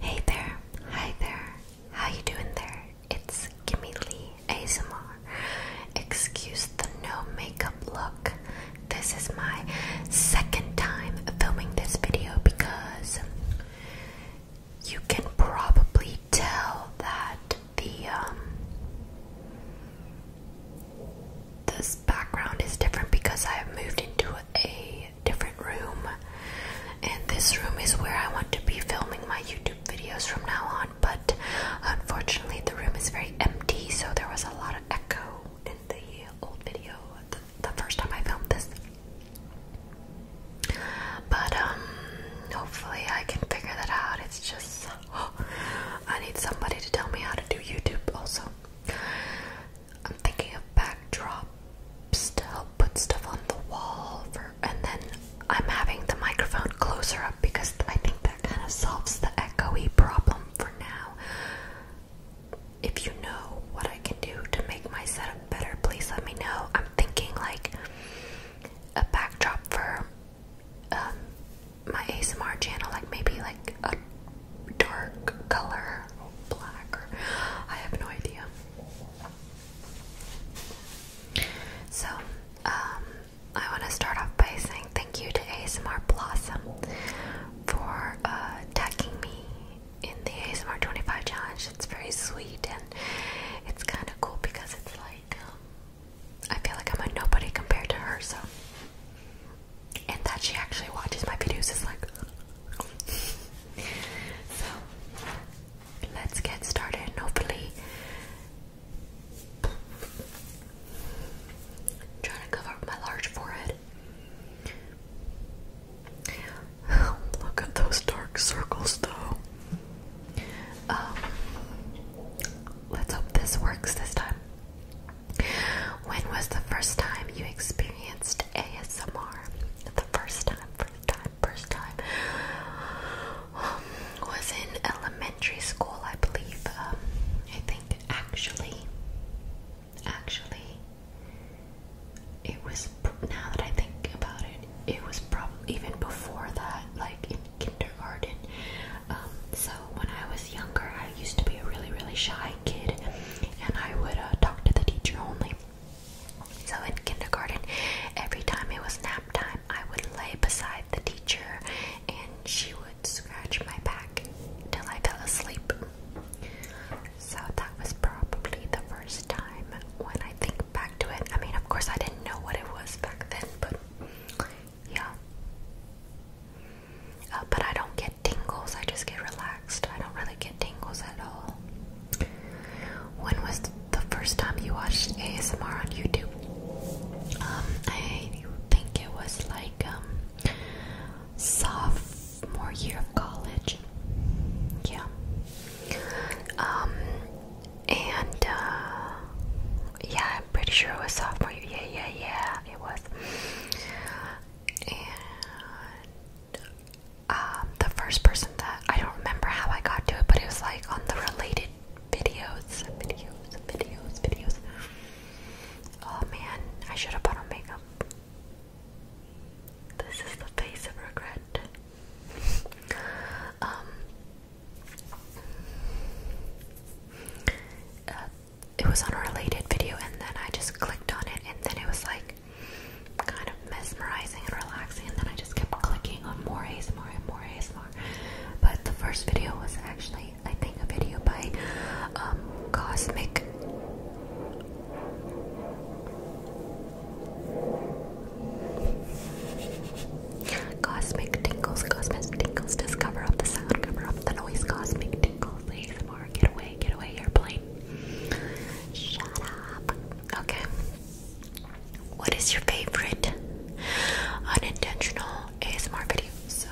Hey there, hi there, how you doing there? It's Kimmy Lee ASMR. Excuse the no makeup look. This is my second time filming this video because you can probably tell that the um, this background is different because I have moved into a different room. And this room is where I want to be filming my YouTube videos from now on, but unfortunately, the room is very empty, so there was a lot of echo in the old video the, the first time I filmed this. But, um, hopefully, I can figure that out. It's just, oh, I need somebody to tell me how to do YouTube also. I'm thinking of backdrops to help put stuff on the wall and then I'm having the microphone closer up because I think that kind of solves the echoey problem for now. If you know what I can do to make my setup better, please let me know. I'm thinking like a backdrop for um, my ASMR channel, like maybe like a dark color or black I have no idea. So, um, I want to start off by saying thank you to ASMR Blossom for uh, tagging me in the ASMR 25 challenge. It's very sweet and it's kind of cool because it's like um, I feel like I'm a nobody compared to her, so and that she actually watches my videos is like. so, let's get started and hopefully. trying to cover my large forehead. Look at those dark circles, though. Um, let's hope this works this time. When was the first time you experienced ASMR? The first time, first time, first time um, was in elementary school, I believe. Um, I think actually, actually, it was now that I think about it, it was probably even before that, like in kindergarten. Um, so when I was younger, I used to be a really, really shy kid and I would uh, talk to the teacher only. So in kindergarten, every time it was nap time, I would lay beside the teacher and she would scratch my back till I fell asleep. So that was probably the first time when I think back to it. I mean, of course, I didn't know what it was back then, but yeah. Uh, but I don't get tingles, I just get relaxed. I don't really get tingles at all. When was the first time you watched ASMR on YouTube? Um, I think it was like um, sophomore year of college. Yeah. Um, and uh, yeah, I'm pretty sure it was sophomore year. Yeah, yeah, yeah, it was and um, the first person that I don't remember how I got to it, but it was like on the related videos, videos, videos, videos. Oh man, I should have put on makeup. This is the face of regret. um, uh, it was on a related video and then I just clicked on it and then it was like kind of mesmerizing and relaxing and then I just kept clicking on more ASMR and more ASMR. But the first video was actually I think a video by um, Cosmic Cosmic Tingles, Cosmic Tingles, discover the sound, cover the noise, Cosmic Tingles, ASMR, get away away, airplane. Shut up. Okay. What is your favorite unintentional ASMR video? So,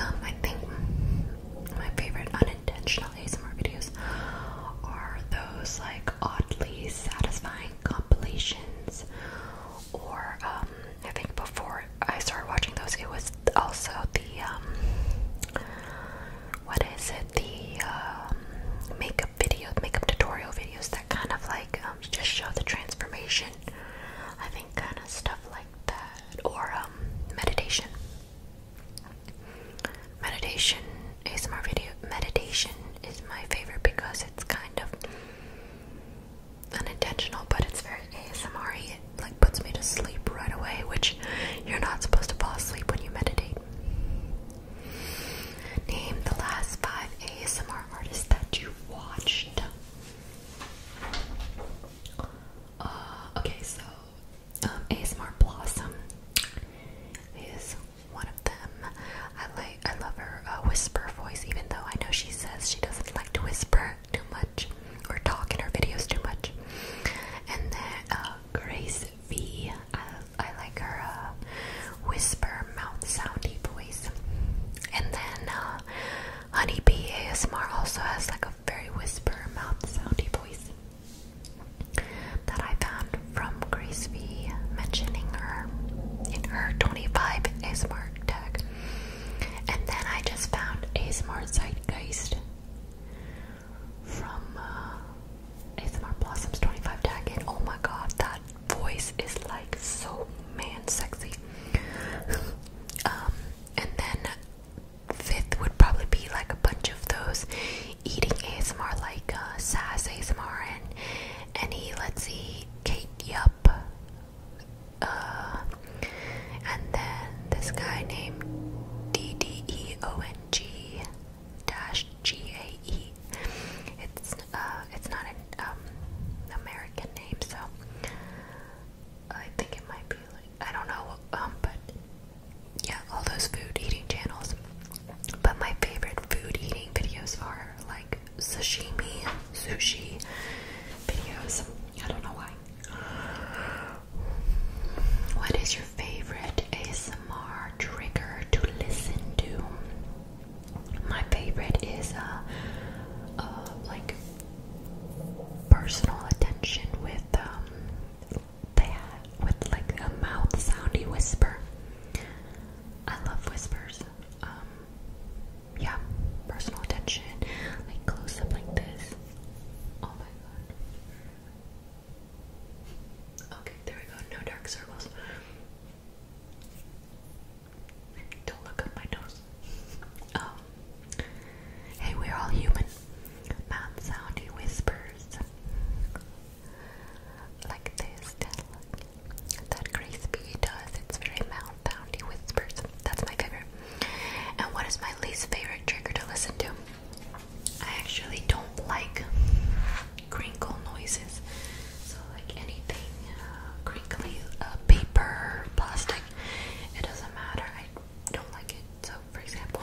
um, I think my favorite unintentional ASMR videos are those like oddly satisfying compilations, or um, I think before I started watching those, it was also the um, what is it the um, makeup video makeup tutorial videos that kind of like um, just show the transformation I think kind of stuff like that or meditation meditation is my video meditation is my favorite because it's kind of unintentional but it's very ASMR like puts me to sleep right away, which you're not supposed to fall asleep when you meditate. Name the last five ASMR artists that you watched. Uh, okay, so um, ASMR Blossom is one of them. I like, I love her uh, whisper voice, even though I know she says she doesn't like to whisper too much or talk in her videos too much. And then uh, Grace V, I like her uh, whisper mouth soundy deep voice. And then uh, Honey ASMR also has like a very whisper mouth soundy voice that I found from Grace V mentioning her in her 25 ASMR tag. And then I just found ASMR Zeitgeist from uh, ASMR Blossoms 25 tag Jacket. Oh my god, that voice is like so man sexy. um, and then fifth would probably be like a bunch of those eating ASMR, like uh, Sass ASMR and any, let's see, Kate Yup. Uh, and then this guy named D D E O N G dash G A E. It's uh, it's not an um, American name, so I think it might be like I don't know, um, but yeah, all those food eating channels. But my favorite food eating videos are like sashimi, sushi videos. I don't know why. What is your favorite ASMR trigger to listen to? My favorite is uh, uh like personal attention with um with like a mouth soundy whisper. I love whispers. Um yeah, personal attention, like close up like this. Oh my god. Okay, there we go. No dark circles. Don't look up my nose. Um, hey, we're all human. Mouth sound, whispers. Like this, that, crispy does. It's very mouth Profoundly Whispers. That's my favorite. And what is my least favorite trigger to listen to? I actually don't like crinkle noises. So, like anything uh, crinkly, uh, paper, plastic, it doesn't matter. I don't like it. So, for example,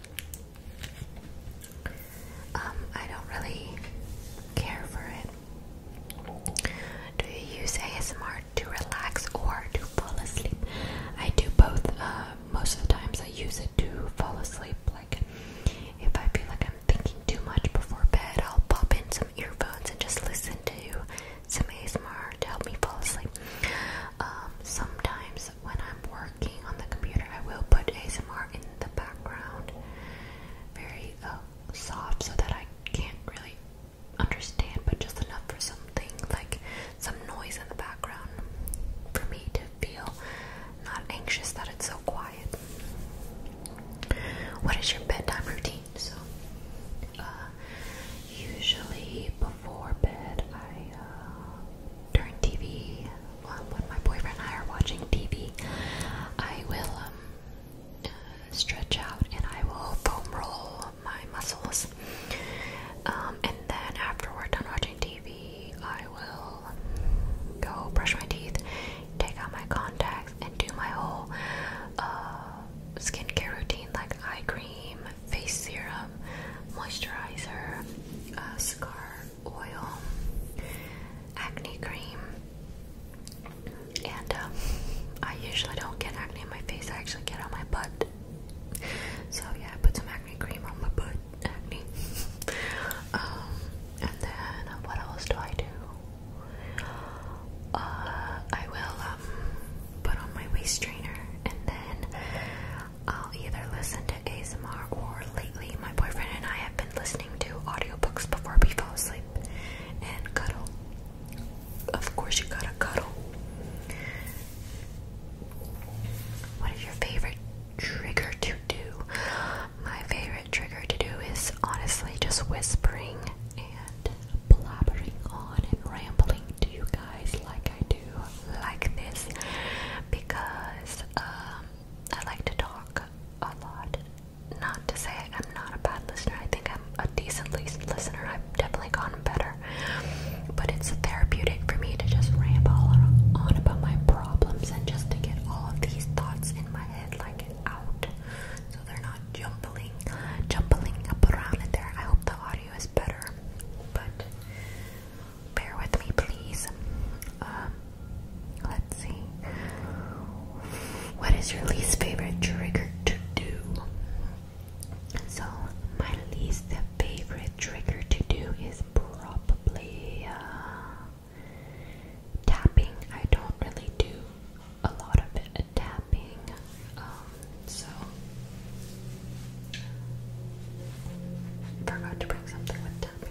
Um, I don't really care for it. Do you use ASMR to relax or to fall asleep? I do both. Uh, most of the times I use it to fall asleep. Like if I feel like I'm thinking too much before bed, I'll pop in some earphones and just listen to some ASMR to help me fall asleep. Um, sometimes when I'm working on the computer, I will put ASMR in the background, very uh, soft, so that I can't really understand, but just enough for something like some noise in the background for me to feel not anxious that it's so quiet. What is your bedtime routine? So, uh, usually before bed, I uh, turn TV uh, when my boyfriend and I are watching TV, I will um, uh, stretch out and I will foam roll my muscles. Um, and then after we're done watching TV, I will go brush my teeth, take out my contacts, and do my whole uh, skincare routine like eye cream, face serum, moisturizer, uh, scar oil, acne cream, and um, I usually don't get acne in my face, I actually get on my butt. So, yeah, I put some acne cream on my butt, acne. Um, and then um, what else do I do? Uh, I will put on my waist trainer and then I'll either listen to ASMR or lately my boyfriend and I have been listening to audiobooks before we fall asleep and cuddle. Of course, you gotta cuddle. What is your favorite trigger to do? My favorite trigger to do is honestly just whispering and blabbering on and rambling to you guys like I do, like this, because um, I like to talk a lot. Not to say I'm not a bad listener, I think I'm a decent listener. I've definitely gotten better. But it's therapeutic for me to just ramble on about my problems and just to get all of these thoughts in my head like out. So they're not jumbling, jumbling up around in there. I hope the audio is better. But Bear with me, please. Um, let's see. What is your least favorite trigger to do? So, my least favorite trigger to do is probably uh, tapping. I don't really do a lot of it, tapping. Um, so, forgot to bring something with tapping.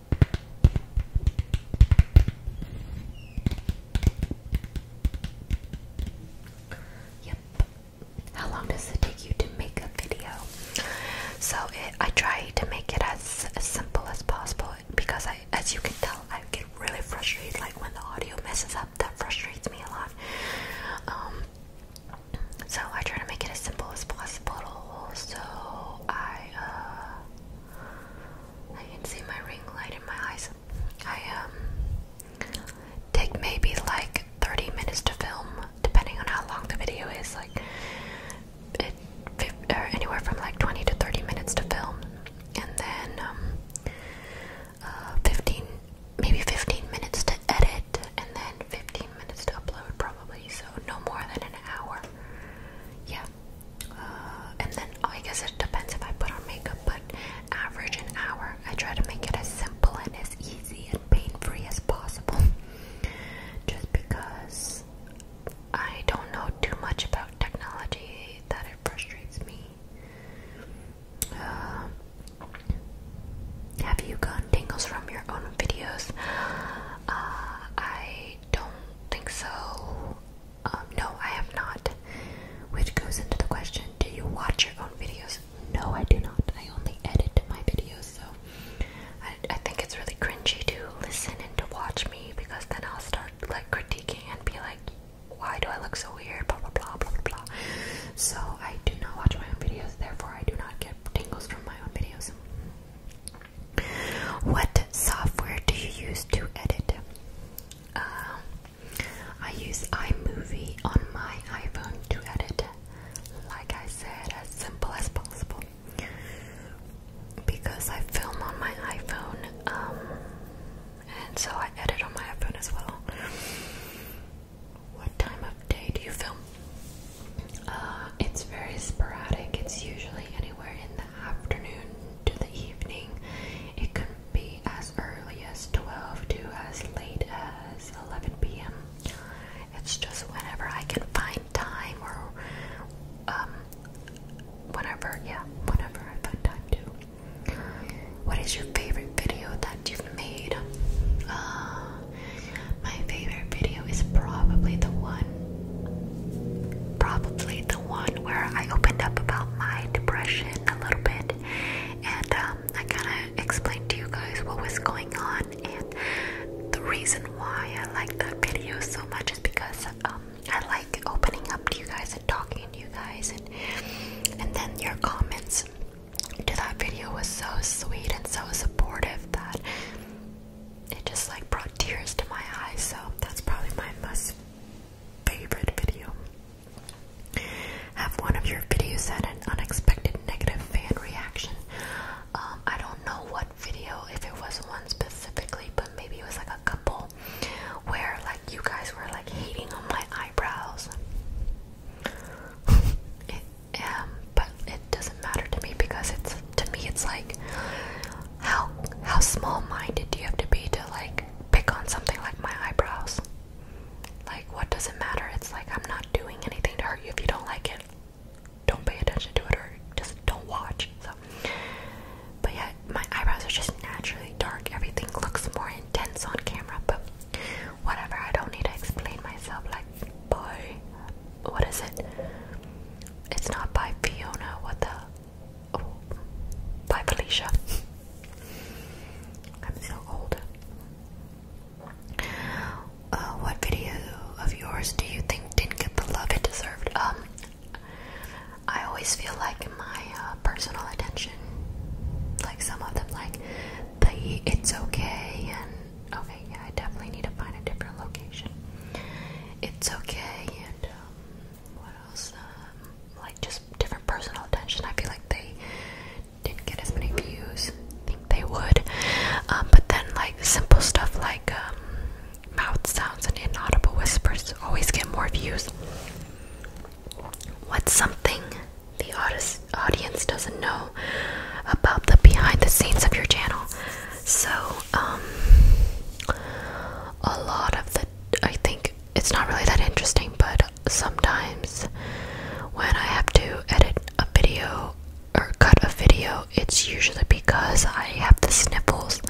Yep. How long does it take you to make a video? So I try to make it as, as simple as possible because I, as you can tell, I get really frustrated. Like when the audio messes up, that frustrates me a lot. Um, so I try to make it as simple as possible. So I uh, I can see my ring light in my eyes. I um, take maybe like 30 minutes to film, depending on how long the video is. Like it, or anywhere from like 20 to 30 minutes to film, and then um, uh, 15, maybe 15 minutes to edit, and then 15 minutes to upload, probably. So no more than an hour. Yeah. Uh, and then oh, I guess it depends if I put on makeup, but average an hour. I try to make it as simple and as easy and pain free as possible, just because I don't know too much about technology that it frustrates me. Uh, have you gotten tingles from your own videos? Uh, I don't think so. Um, no, I have not. Which goes into the question Do you watch your own videos? No, I do not. I only edit my videos, so I, I think it's really cringy to listen and to watch me because then I'll start like critiquing and be like, Why do I look so weird? Blah blah blah blah blah blah. So I do not watch my own videos, therefore, I do not get tingles from my own videos. What software do you use to edit? Um, I use iMovie on my iPhone to edit. Like I said, as simple as possible. Because I film on my iPhone, um, and so I edit on my iPhone as well. What time of day do you film? Uh, it's very sporadic. It's usually anywhere in the afternoon to the evening. It can be as early as 12 to as late as 11 p.m. It's just whenever I can find time or um, whenever, yeah, whenever I find time to. What is your favorite video that you've made? Uh, my favorite video is probably the one, probably the one where I opened up about my depression a little bit, and um, I kind of explained to you guys what was going on, and the reason why I like that video so much is because um, I like opening up to you guys and talking to you guys, and and then your comments to that video was so sweet and so supportive that it just like brought tears to my eyes, so that's probably my most favorite video. Have one of your videos had an unexpected negative fan reaction? Um, I don't know what video, if it was one specifically, but maybe it was like a couple where like you guys were like hating on my eyebrows. um, but doesn't matter to me because it's to me it's like how how small minded do you have to be to like pick on something like my eyebrows? Like what does it matter? It's like I'm not doing anything to hurt you if you don't like it. Don't pay attention to it or just don't watch. So but yeah, my eyebrows are just naturally dark. Everything looks more intense on camera, but whatever, I don't need to explain myself like boy what is it? It's not by Fiona, what the? Oh, by Felicia. I'm so old. Uh, what video of yours do you think didn't get the love it deserved? Um, I always feel like my uh, personal attention, like some of them, like the "It's Okay" and Okay, yeah, I definitely need to find a different location. It's okay, and um, what else? Um, like just different personal attention. I feel like they didn't get as many views. I they would, um, but then like simple stuff like mouth sounds and inaudible whispers always get more views. What's something the audience doesn't know about the behind the scenes of your channel. So, um, a lot of the, I think it's not really that interesting, but sometimes when I have to edit a video or cut a video, it's usually because I have the sniffles.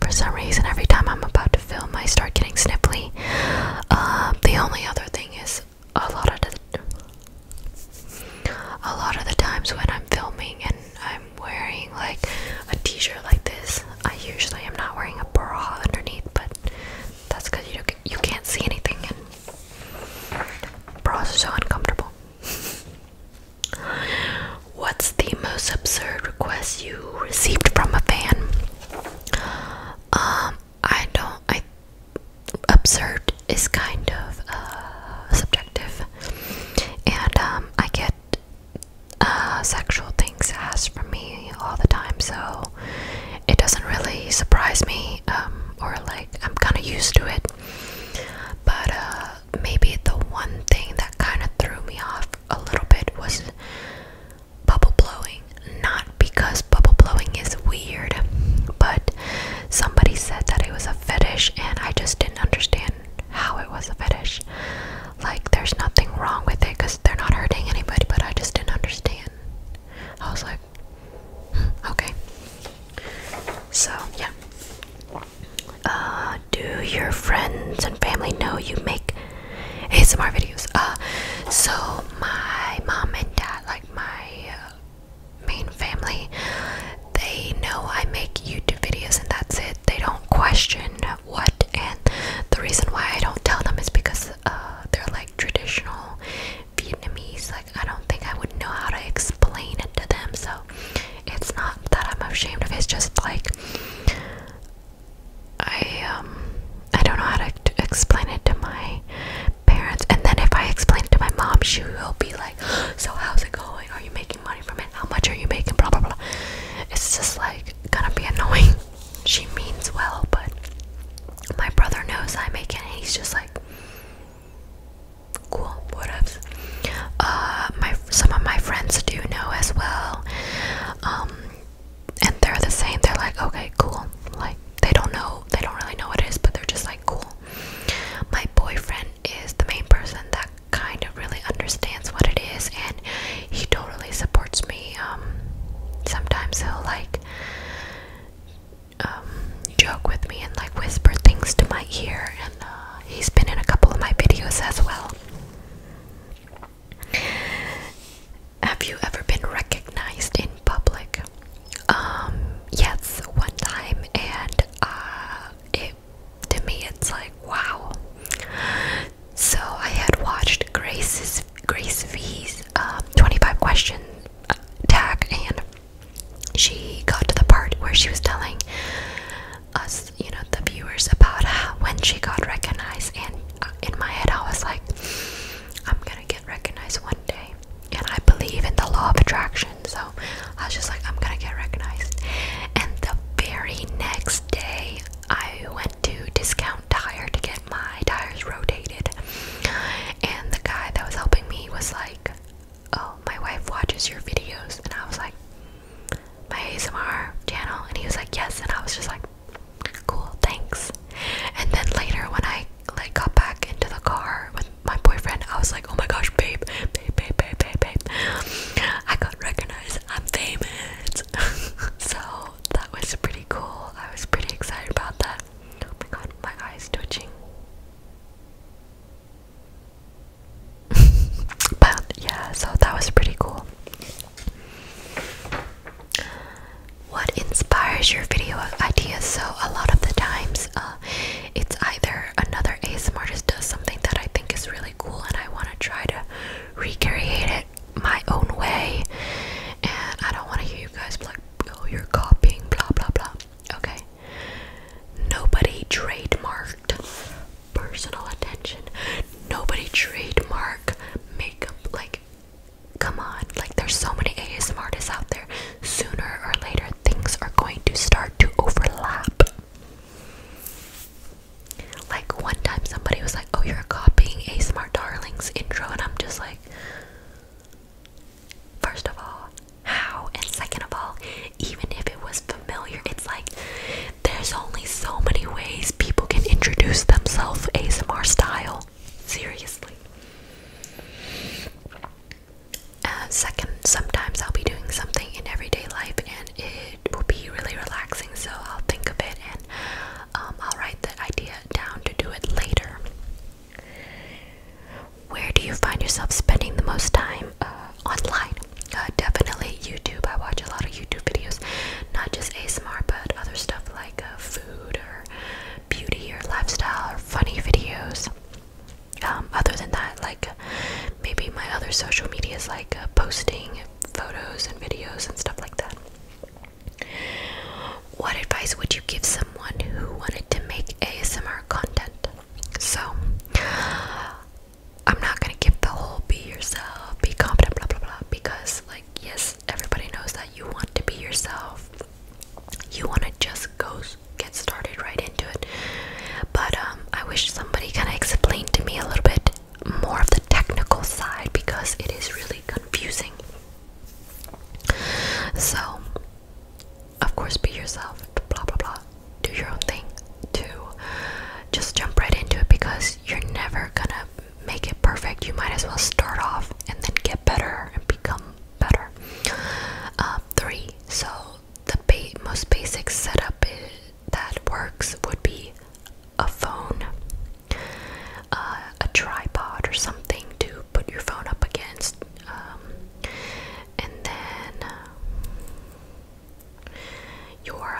For some reason, every time I'm about to film, I start getting sniffly. Uh, the only other thing is a lot of the a lot of the times when I'm filming and I'm wearing like a t-shirt like this, I usually am not wearing a bra underneath, but that's because you you can't see anything and bras are so uncomfortable. What's the most absurd request you received from a fan? Um, I don't. I absurd is kind of uh, subjective, and um, I get uh, sexual things asked from me all the time, so it doesn't really surprise me, um, or like I'm kind of used to it. But uh, maybe the one thing that kind of threw me off a little bit was bubble blowing. Not because bubble blowing is weird, but somebody said that it was a fetish and I just didn't understand how it was a fetish. Like there's nothing wrong with it cuz they're not hurting anybody, but I just didn't understand. I was like, hmm, okay. So, yeah. Uh, do your friends and family know you make ASMR videos? Uh, so my mom and dad, like my uh, main family, they know I make YouTube videos and that's it. They don't question what, and the reason why I don't tell them is because uh, they're like traditional Vietnamese. Like, I don't think I would know how to explain it to them, so it's not that I'm ashamed of it. It's just like I um I don't know how to explain it to my parents and then if I explain it to my mom she will be like so how's it going are you making money from it how much are you making blah blah blah it's just like gonna be annoying she means well but my brother knows I am making it and he's just like cool whatevs uh my some of my friends do know as well um, and they're the same they're like okay cool like they don't know they don't really know what it is but they're just like cool my boyfriend is the main person that kind of really understands what it is, and he totally supports me. Um, sometimes he'll like um, joke with me and like whisper things to my ear, and uh, he's been in a couple of my videos as well. Have you ever been recognized in public? Um, yes, one time, and uh, it to me it's like wow. So I had watched Grace's Grace V's um, 25 question tag, and she got to the part where she was telling us, you know, the viewers about when she got recognized, and uh, in my head I was like, I'm gonna get recognized one day and I believe in the law of attraction. So I was just like, I'm gonna get recognized. And the very next day, I went to Discount Tire to get my tires rotated. And the guy that was helping me was like, Oh, my wife watches your videos. And I was like, My ASMR channel. And he was like, Yes. And I was just like, Cool, thanks. And then later, when I like got back into the car with my boyfriend, I was like, oh my gosh, babe, babe, babe, babe, babe, babe. I got recognized. I'm famous. so that was pretty cool. I was pretty excited about that. Oh my god, my eyes twitching. but yeah, so that was pretty cool. What inspires your video ideas? So a lot of the times, um, it's either another ASMR artist does something that I think is really cool and I want to try to recreate it my own way, and I don't want to hear you guys be like, oh, you're copying, blah blah blah. Okay. Nobody trademarked personal attention. Nobody trademark makeup. Like, come on. Like, there's so many ASM artists out there sooner or later things are going to start to overlap. Like one time somebody was like, Oh, you're copying ASMR Darling's intro, and I'm just like, First of all, how? And second of all, even if it was familiar, it's like there's only so many ways people can introduce themselves ASMR style. Seriously. Uh, second, sometimes I'll be doing something in everyday life and it will be really relaxing, so I'll think of it and um, I'll write the idea down to do it later. Where do you find yourself spending the most time uh, online? Uh, definitely YouTube. I watch a lot of YouTube videos, not just ASMR, but other stuff like uh, food or beauty or lifestyle or funny videos. Um, other than that, like maybe my other social media is like uh, posting photos and videos and stuff like that. What advice would you give someone who wanted to make ASMR content? So, I'm not gonna give the whole be yourself, be confident, blah blah blah, because, like, yes, everybody knows that you want to be yourself, you want to just go get started right into it. But um, I wish somebody kind of explained to me a little bit more of the technical side because it is really confusing. So, of course, be yourself, blah blah blah. Do your own thing to just jump right into it because you're never gonna make it perfect. You might as well start off and then get better and become better. Um, three. So the most basic setup that works would be a phone, uh, a tripod, or something to put your phone up against, um, and then um, your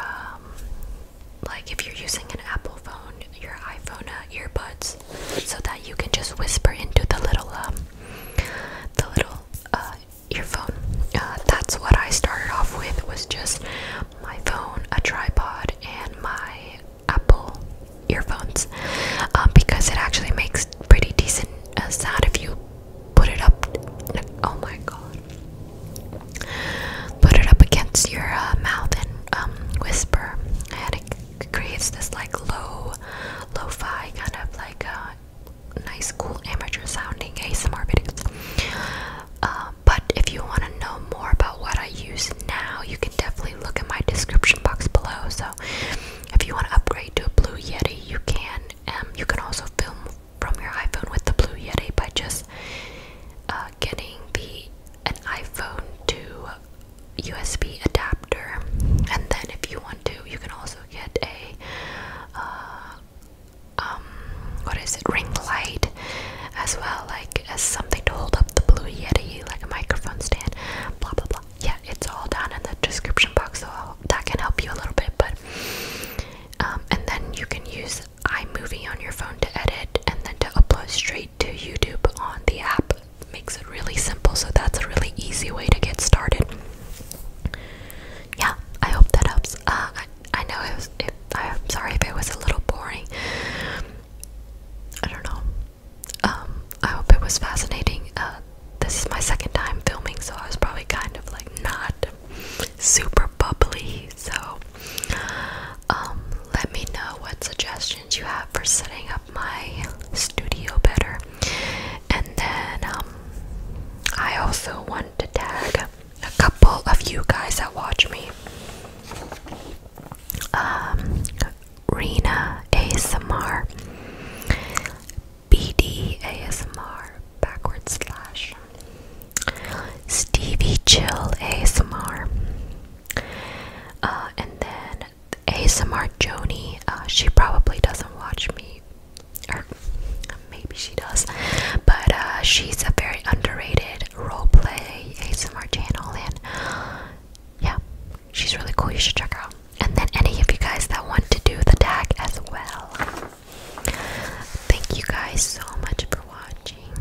like if you're using an Apple phone, your iPhone uh, earbuds so that you can just whisper into the little um, the little uh, earphone. Uh, that's what I started off with was just my phone, a tripod, and my Apple earphones um, because it actually makes pretty decent uh, sound if you put it up. Oh my god! Put it up against your mouth and um, whisper. I creates this like low, lo-fi kind of like uh, nice, cool, amateur-sounding ASMR videos. Uh, but if you want to know more about what I use now, you can definitely look at my description box below. So if you want to upgrade to a Blue Yeti, you can. Um, you can also film from your iPhone with the Blue Yeti by just uh, getting the an iPhone to USB adapter, and then if you want to, you can also get a uh, um, what is it, ring light as well, like as something to hold up the Blue Yeti, like a microphone stand, blah blah blah. Yeah, it's all down in the description box, so that can help you a little bit. But um, and then you can use iMovie on your phone to edit, and then to upload straight to YouTube on the app makes it really simple, so that's a really easy way to get started. Yeah, I hope that helps. Uh, I, know it I'm sorry if it was a little boring. I don't know. Um, I hope it was fascinating. Uh, this is my second time filming, so I was probably kind of like not super bubbly. So, um, let me know what suggestions you have for setting up my studio better. And then um, I also want to tag a couple of you guys that watch me. Um, Rena ASMR, BD ASMR, backward slash, Stevie Chill ASMR, uh, and then ASMR Joni. Uh, she probably doesn't watch me, or maybe she does, but uh, she's a very underrated roleplay ASMR channel, and yeah, she's really cool. You should check her out. And then any of you guys that want to do the tag as well. Thank you guys so much for watching.